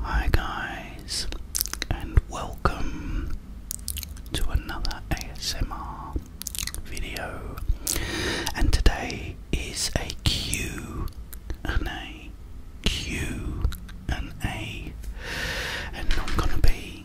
Hi, guys, and welcome to another ASMR video. And today is a Q and A, Q and A, and I'm gonna be.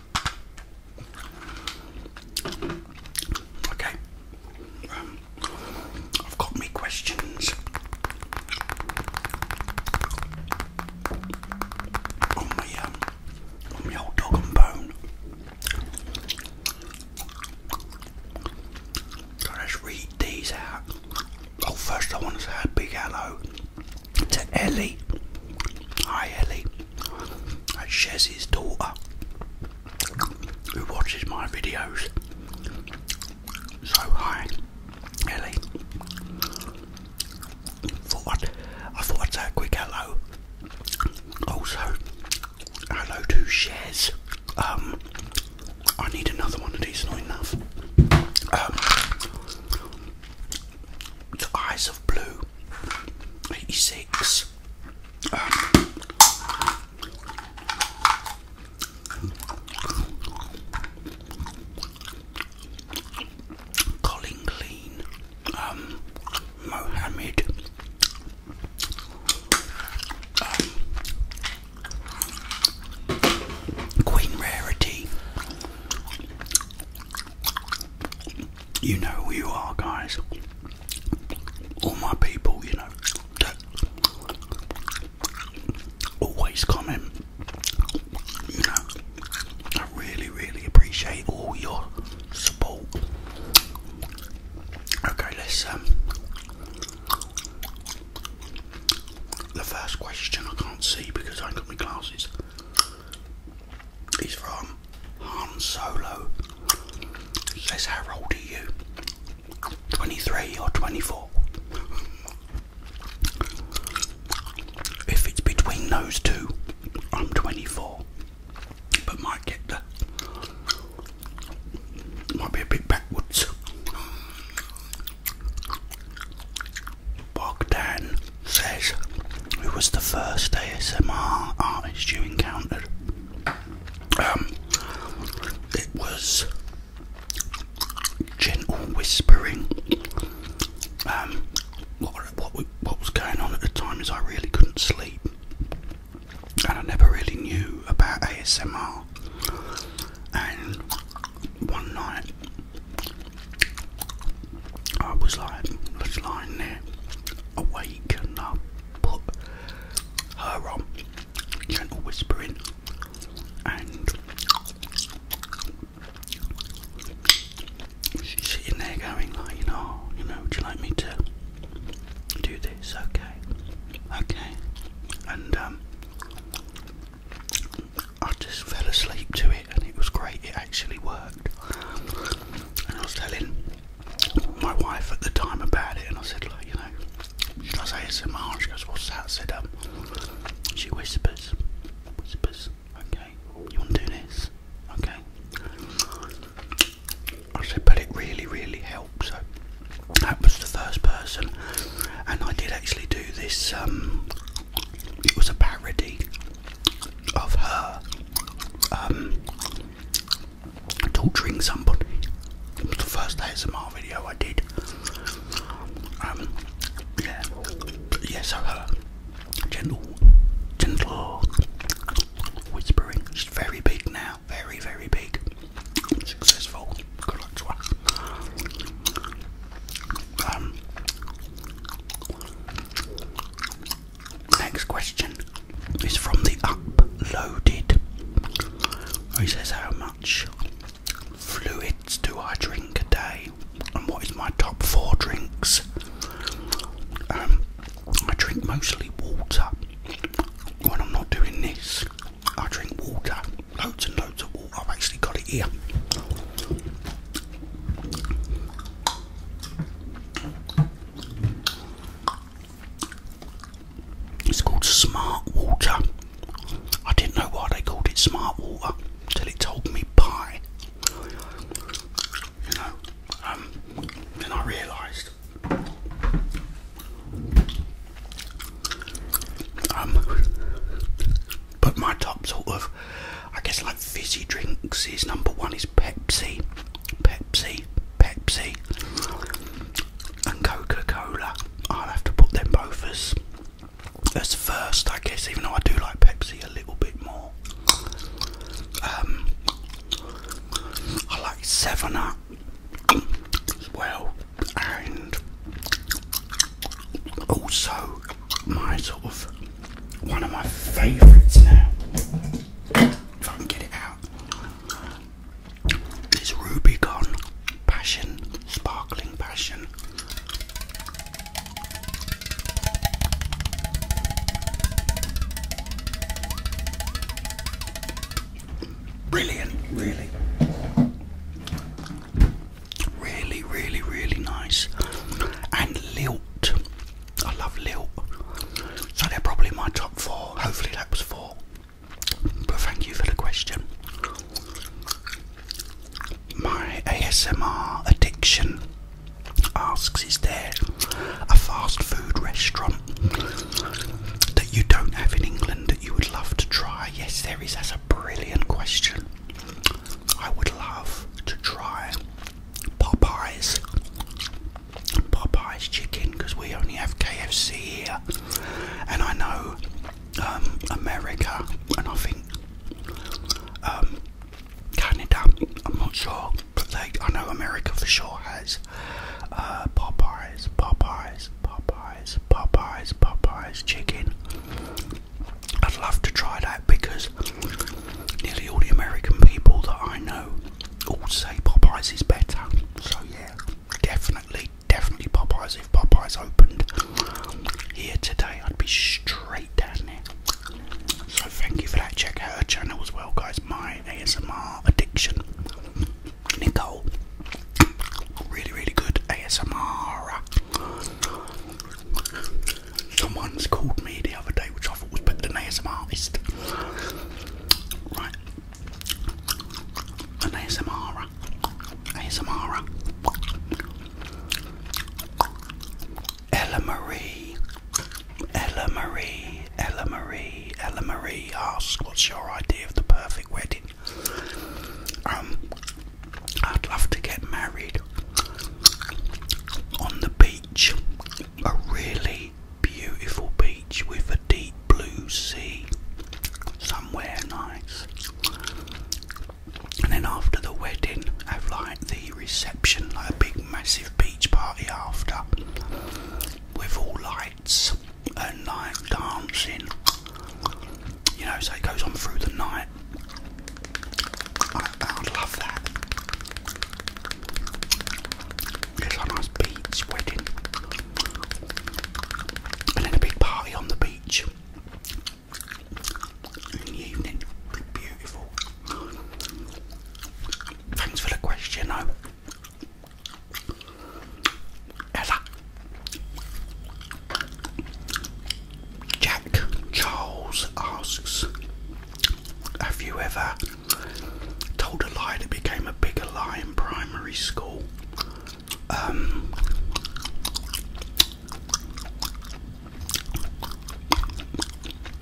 Okay, um, I've got me questions on my um, on my dog bone. So let's read these out. Oh, first I want to say a big hello to Ellie. Hi, Ellie. That's Shez's daughter who watches my videos. So hi, Ellie. Thought i thought I'd say a quick hello. Also, hello to Shaz. Um, I need another one of not enough. Um, Eyes of Blue 86. Colin Clean, um, Mohammed, um, Queen Rarity, you know who you are, guys. All my people, you know, always coming. You know, I really, really appreciate all your support. Okay, let um, The first question I can't see because I ain't got my glasses is from from Han Solo. Says, How old are you? 23 or 24? If it's between those two, I'm 24. But might get might be a bit backwards. Bogdan says, who was the first ASMR artist you encountered? Um, it was gentle whispering. Um, what, what, what was going on at the time is I really couldn't sleep, and I never really knew about ASMR. And one night, I was like, was lying there awake and I put her on, gentle whispering, and she's sitting there going like, you know, you know, would you like me to do this? Okay, okay, and um. I just fell asleep to it and it was great, it actually worked. And I was telling my wife at the time about it, and I said, like, you know, should I say ASMR? She goes, what's that? I said, um, she whispers, whispers, okay, you want to do this? Okay. I said, but it really, really helps. So that was the first person, and I did actually do this. Um, it was a parody of her um, torturing somebody. It was the first ASMR video I did. Um, yeah, yeah. So her gentle, gentle whispering. She's very big now. Very, very big. Successful. Good luck to her. Um, Next question is from the uploaded. He says, How much fluids do I drink a day? And what is my top four drinks? Um, I drink mostly water. When I'm not doing this, I drink water. Loads and loads of water. I've actually got it here. It's called Smart Water. I didn't know why they called it Smart Water until it told me pie. You know, then um, I realised. Um, but my top sort of, I guess, like fizzy drinks is number one is Pepsi, Pepsi, Pepsi, and Coca Cola. I'll have to put them both as as first, I guess, even though I do like Pepsi a little bit more. Um, I like Seven Up as well, and also my sort of one of my favourites now. If I get it out, this Rubicon Passion, sparkling passion. Brilliant, really. Really, really, really nice. And Lilt. I love Lilt. So they're probably my top four. Hopefully that was four. But thank you for the question. My ASMR addiction asks Is there a fast food restaurant that you don't have in England that you would love to try? Yes, there is. That's a brilliant question. I would love to try Popeyes. Popeyes chicken because we only have KFC here, and I know America and I think Canada. I'm not sure, but I know America for sure has Popeyes, Popeyes, Popeyes, Popeyes, Popeyes chicken. I'd love to try that because nearly all the American people that I know all say Popeyes is better. So yeah, definitely, definitely Popeyes. If Popeyes opened here today, I'd be straight down there. So thank you for that. Check out her channel as well, guys. My ASMR addiction, Nicole. Really, really good ASMR Someone's called me the other day, which I thought was better than ASMR artist. Right. An ASMR. Ella Marie. Ella Marie. Ella Marie. Ella Marie asks, what's your idea of the perfect wedding? Um, I'd love to get married on the beach, a really beautiful beach with a deep blue sea, somewhere nice. And then after the wedding, have like the reception, like a big massive beach party after, with all lights and like dancing you know, so it goes on through the night. I, would love that. It's a nice beach wedding. And then a big party on the beach Beautiful. Thanks for the question, though. Ella. Jack Charles asks, have you ever told a lie that became a bigger lie in primary school? Um,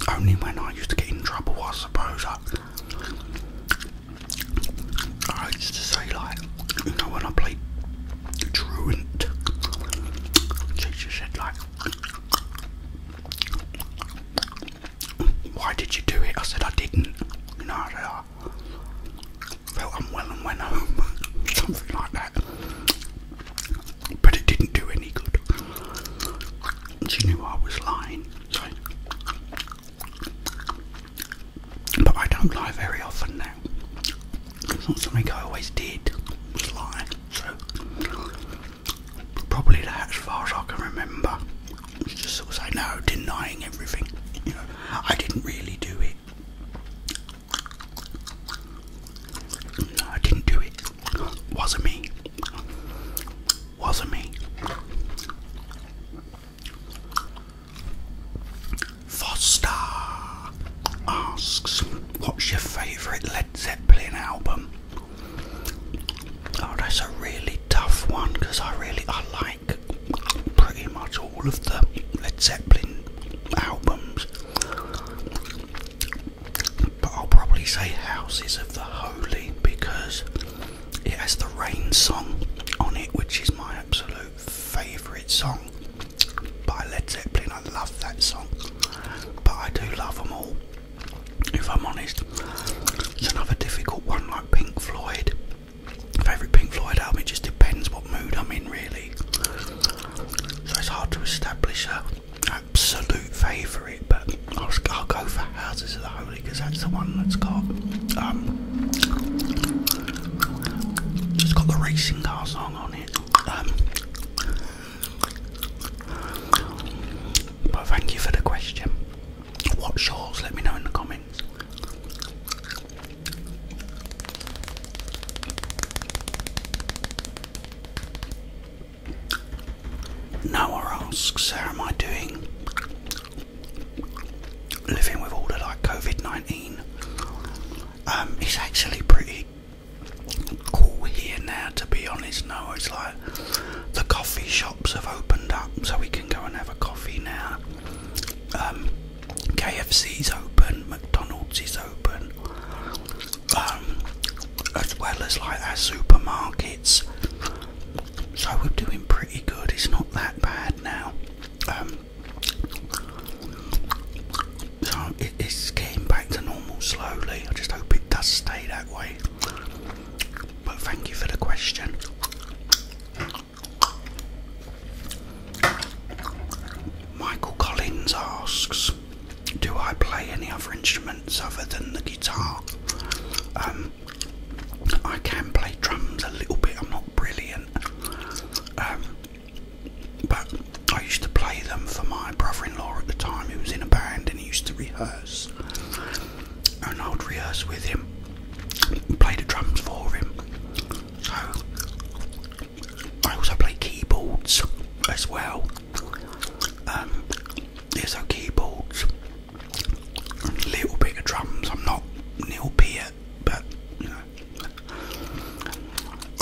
only when I used to get in trouble, I suppose. I used to say, like, you know, when I played Truant. Teacher said, like, why did you do it? I said, I didn't. You know, I, Felt I am well and went home. Something like that. But it didn't do any good. She knew I was lying. So. But I don't lie very often now. It's not something I always did, was lie. So, probably that as far as I can remember. just sort of say, denying everything. You know, I didn't really do it. I didn't do it. Wasn't me. Wasn't me. Foster asks, What's your favourite Led Zeppelin album? Oh, that's a really tough one because I really I like pretty much all of the Led Zeppelin albums. But I'll probably say Houses of the Holy because it has the rain song on it, which is my absolute favourite song by Led Zeppelin. I love that song, but I do love them all. If I'm honest, it's another difficult one like Pink Floyd. Favourite Pink Floyd album, it just depends what mood I'm in, really. So it's hard to establish a absolute favourite, but I'll, I'll go for Houses of the Holy because that's the one that's got um, just got the racing car song on it. Um, but thank you for the question. What yours? Let me know in the comments. Noah asks, how am I doing living with all the like COVID 19 um, it's actually pretty cool here now, to be honest. No, it's like the coffee shops have opened up, so we can go and have a coffee now. Um, KFC's open, McDonald's is open, um, as well as like our supermarkets. So we're doing pretty good. It's not that bad now. Um, so it, it's getting back to normal slowly. I just hope it does stay that way. But thank you for the question. Michael Collins asks, "Do I play any other instruments other than the guitar?" Um, I can play drums a little bit. I'm not brilliant. Um, but I used to play them for my brother in law at the time, He was in a band and he used to rehearse. And I would rehearse with him, play the drums for him. So I also play keyboards as well. Um, there's so keyboards, little bit of drums. I'm not Neil Peart, but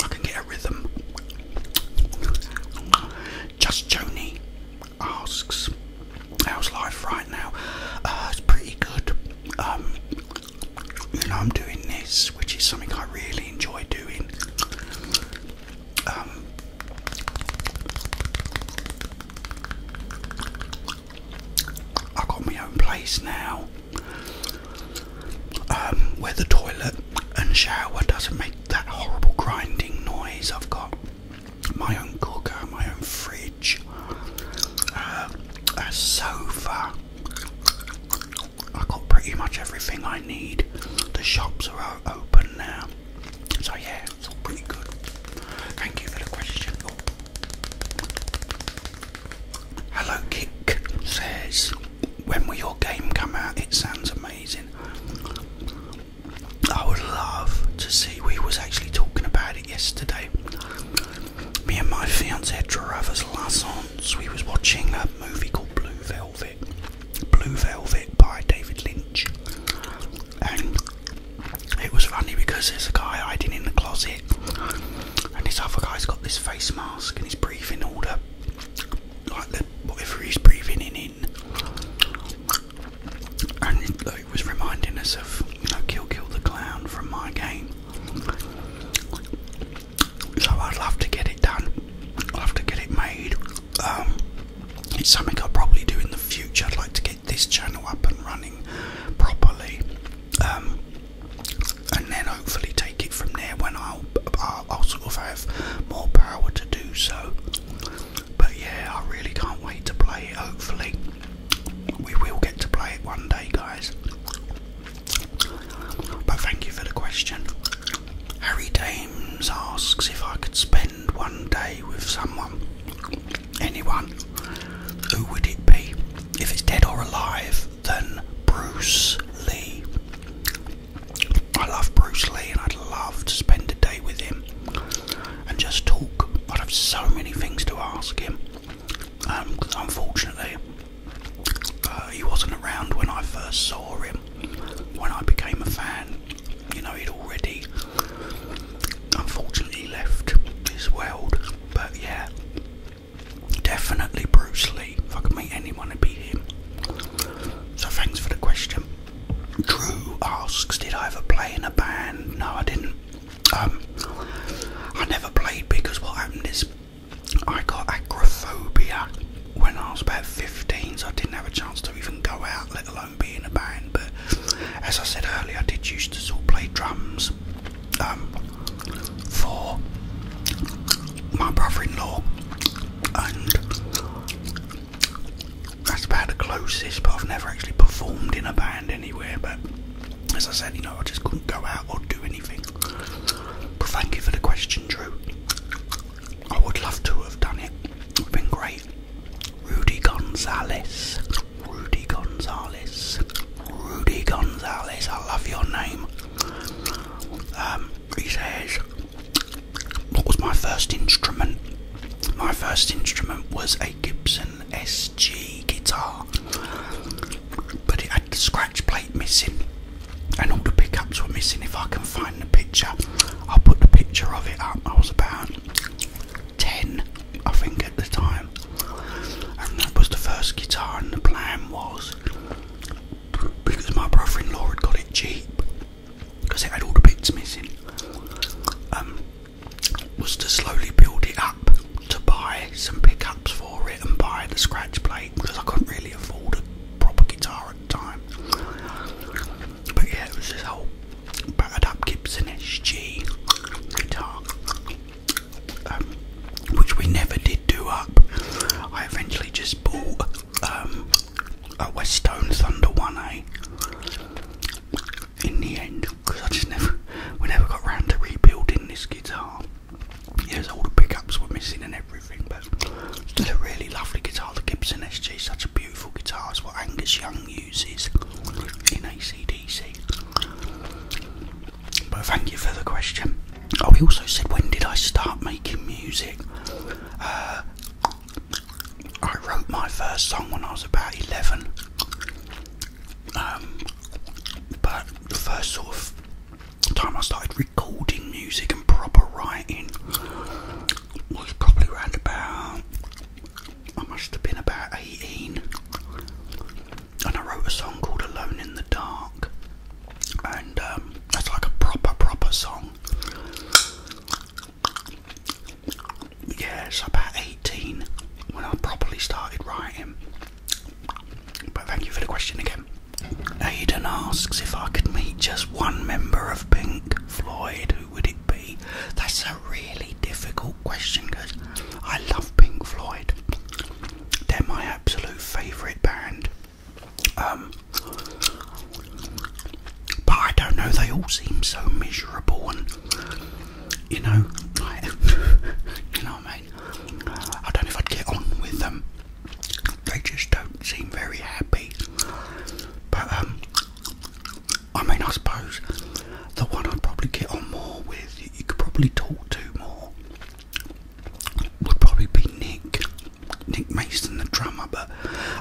I can get a rhythm. Just Joni asks, "How's life right now?" Uh, it's pretty good. Um, you know, I'm doing this, which is something I really enjoy doing. Um, I got my own place now. Um, where the toilet and shower doesn't make that horrible grinding noise. I've got my own cooker, my own fridge, uh, a sofa. I've got pretty much everything I need. The shops are open now. So, yeah, it's all pretty good. Thank you for the question. Hello Kick says, when will your game come out? It sounds amazing. I would love to see. We was actually talking about it yesterday. Me and my fiance had Drava's Lassons. We was watching a movie called Blue Velvet. Blue Velvet by David Lynch. And it was funny because there's a guy hiding in the closet and this other guy's got this face mask and he's breathing all the like the whatever he's breathing in And it, was reminding us of you know Kill Kill the Clown from my game. So I'd love to get it done. I'd love to get it made. Um, it's something I'll probably do in the future. I'd like to get this channel up and running properly. Um, and then hopefully take it from there when I'll, sort of have more power to do so. But yeah, I really can't wait to play it. Hopefully, we will get to play it one day, guys. But thank you for the question. Harry Dames asks if I could spend one day with someone, anyone, who would it be? If it's dead or alive, than Bruce Lee. I love Bruce Lee and I'd love to spend a day with him and just talk. I'd have so many things to ask him. Um, unfortunately, uh, he wasn't around when I first saw him, when I became a fan. You know, he'd already unfortunately left this world, but yeah, Definitely Bruce Lee. If I could meet anyone, it'd be him. So thanks for the question. Drew asks, did I ever play in a band? No, I didn't. Um, I never played because what happened is I got agoraphobia when I was about 15, so I didn't have a chance to even go out, let alone be in a band. But as I said earlier, I did used to sort of play drums. Um, for my brother-in-law and that's about the closest but I've never actually performed in a band anywhere but as I said you know I just couldn't go out or do anything thank you for the question Drew I would love to have done it it would have been great Rudy Gonzalez Rudy Gonzalez. Rudy Gonzalez, I love your name. Um, he says, What was my first instrument? My first instrument was a Gibson SG guitar, but it had the scratch plate missing, and all the pickups were missing. If I can find the picture, I'll put the picture of it up. I was about 10, I think, at the time, and that was the first guitar. And the plan was because my brother in law had got it cheap because it had all the bits missing, um, was to slowly build it up to buy some pickups for it and buy the scratch plate because I couldn't really afford a proper guitar at the time. But yeah, it was this whole battered up Gibson SG guitar. Um, which we never did do up. I eventually just bought um, a Westone Thunder 1A in the end because I just never, we never got round to rebuilding this guitar. There's all the pickups were missing and everything, but still a really lovely guitar. The Gibson SG such a beautiful guitar. It's what Angus Young uses in ACD but thank you for the question. Oh, he also said, when did I start making music? Uh, I wrote my first song when I was about 11. Um, but the first sort of time I started recording music and proper writing was probably around about, I must have been about 18 and I wrote a song called Alone in the Dark, and um, that's like a proper, proper song. Yeah, it's about 18 when I properly started writing. But thank you for the question again. Aidan asks if I could meet just one member of Pink Floyd, who would it be? That's really difficult question because I love Pink Floyd. They're my absolute favourite band. Um, but I don't know, they all seem so miserable and, you know, you know what I mean? I don't know if I'd get on with them. They just don't seem very happy. But, um, I mean, I suppose the one I'd probably get on more with, you could probably talk to more, would probably be Nick, Nick Mason, the drummer. But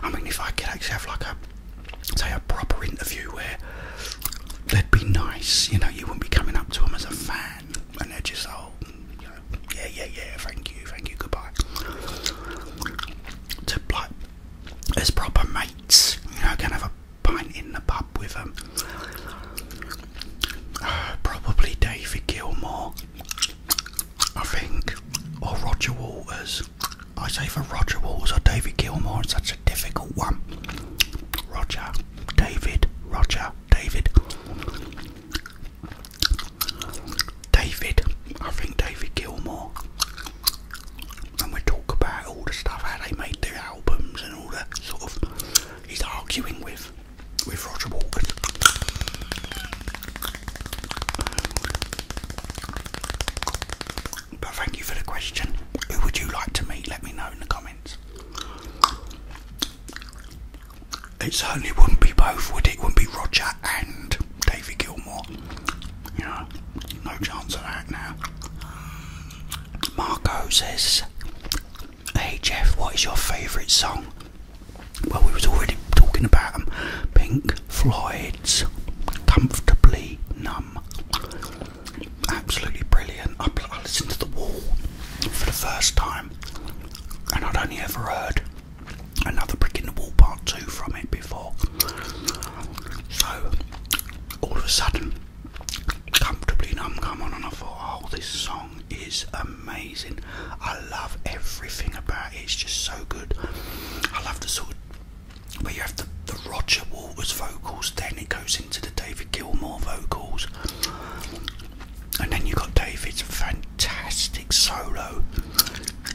I mean, if I could actually have like a, say, a proper interview where they'd be nice, you know, you wouldn't be coming up to them as a fan and they're just, oh, yeah, yeah, yeah, thank you, thank you, goodbye. To like, as proper mates, you know, kind of a pint in the pub with them. Uh, probably David Gilmore. I think, or Roger Waters. I say for Roger Waters or David Gilmore. it's such a difficult one. Roger, David, Roger, David. David, I think David Gilmore and we talk about all the stuff how they made their albums and all that sort of. He's arguing with with Roger Walker. But thank you for the question. Who would you like to meet? Let me know in the comments. It certainly wouldn't be both, would it? it wouldn't be Roger and David Gilmour. You no chance of that now. Marco says, "Hey Jeff, what is your favourite song?" Well, we was already talking about them. Pink Floyd's "Comfortably Numb." Absolutely brilliant. I, I listened to The Wall for the first time, and I'd only ever heard another Brick in the Wall Part Two from it before. So all of a sudden, comfortably numb. Come on, and I thought, oh, this song is amazing. I love everything about it. It's just so good. I love the sort where you have the Roger Waters vocals, then it goes into the David Gilmour vocals, and then you got David's fantastic solo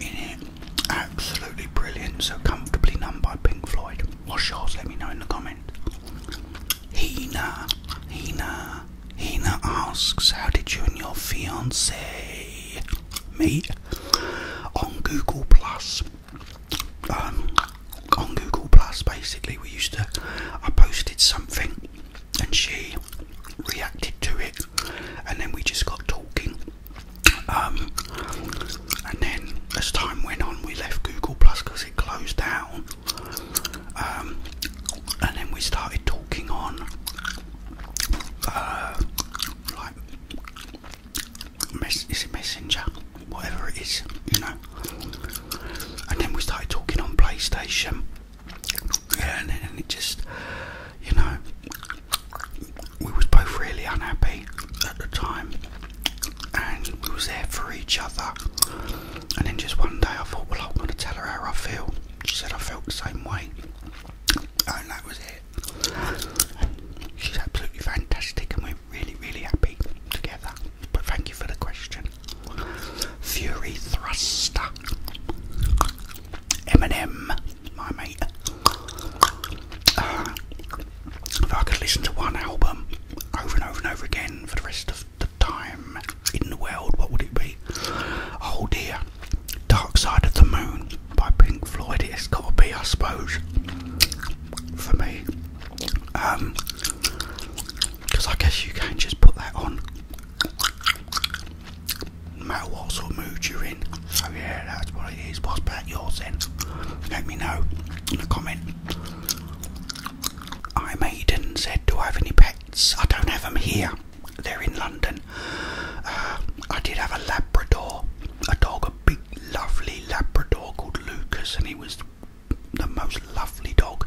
in it. Absolutely brilliant. So comfortably numb by Pink Floyd. What's yours? Let me know in the comment. Hina, Hina, Hina asks, how did you and your fiance meet on Google Plus? Um, on Google Plus, basically, we used to. I posted something, and she reacted to it, and then we just got talking, um, and then as time went on, we left Google Plus because it closed down. Um, and then we started talking on uh, like is it Messenger, whatever it is, you know. And then we started talking on PlayStation. and, and it just, you know, we was both really unhappy at the time and we was there for each other and then just one day I thought well I'm gonna tell her how I feel. She said I felt the same way and that was it. She's absolutely fantastic and we're really really happy together. But thank you for the question. Fury Thruster. Eminem, my mate if I could listen to one album over and over and over again for the rest of the time in the world, what would it be? Oh dear, Dark Side of the Moon by Pink Floyd. It's got to be, I suppose, for me. Um, because I guess you can just put that on, no matter what sort of mood you're in. So yeah, that's what it is. What's about yours then? Let me know in the comment. I made and said, do I have any pets? I don't have them here. They're in London. Uh, I did have a Labrador, a dog, a big, lovely Labrador called Lucas, and he was the most lovely dog.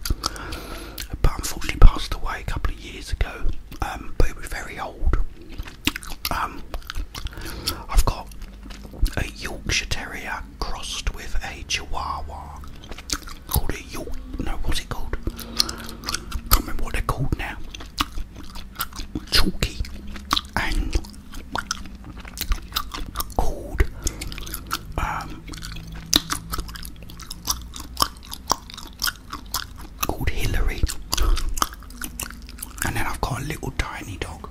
But unfortunately, passed away a couple of years ago. Um, but he was very old, um, I've got a Yorkshire Terrier crossed with a Chihuahua called a York. No, what's it called? Can't remember what they're called now. Chalky and called um, called Hillary. And then I've got a little tiny dog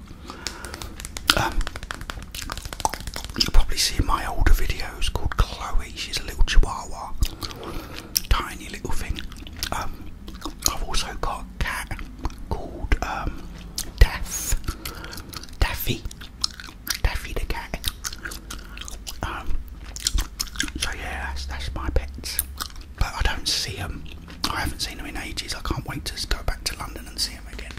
um, you'll probably see in my older videos called Chloe. She's a little chihuahua, tiny little thing. Um, I've also got a cat called um, Daffy, Daffy the cat. Um, so yeah, that's my pets but I don't see them. I haven't seen them in ages. I can't wait to go back to London and see them again.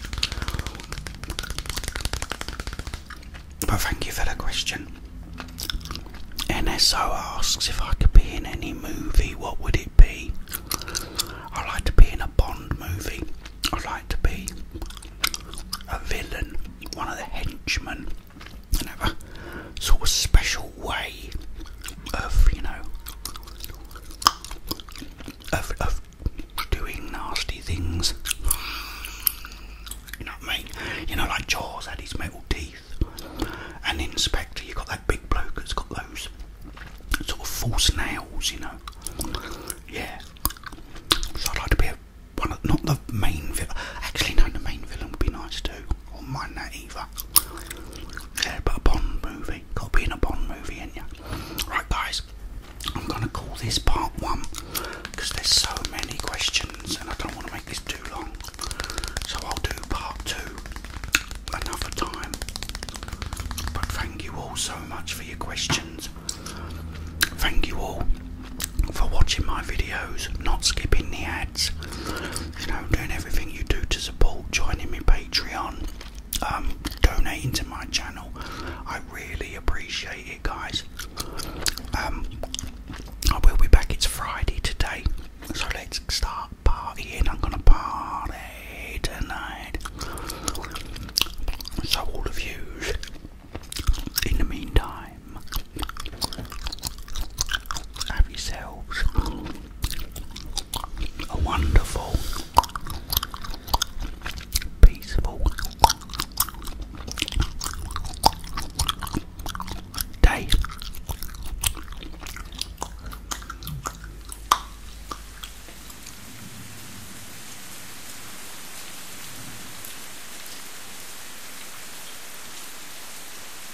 But thank you for the question. NSO asks if I could be in any movie, what would it be? I'd like to be in a Bond movie. I'd like to be a villain, one of the henchmen, and sort of special way of, you know, of, of doing nasty things. You know what I mean? You know, like Jaws had his metal teeth, and Inspector, you got that big bloke that's got those sort of false nails, you know. Yeah. So I'd like to be a, one of, not the main villain. Actually, no, the main villain would be nice too. Or mind that either. Yeah, but a Bond movie. Got to be in a Bond movie, ain't ya? Right, guys. I'm gonna call this part one because there's so many questions and I don't want to make this too long. So I'll do part two another time. But thank you all so much for your questions. Thank you all for watching my videos, not skipping the ad ads, you know, doing everything you do to support, joining me Patreon, um, donating to my channel. I really appreciate it, guys. Um, I will be back. It's Friday today, so let's start partying. I'm gonna party tonight. So all of you, in the meantime, have yourselves a wonderful, peaceful day.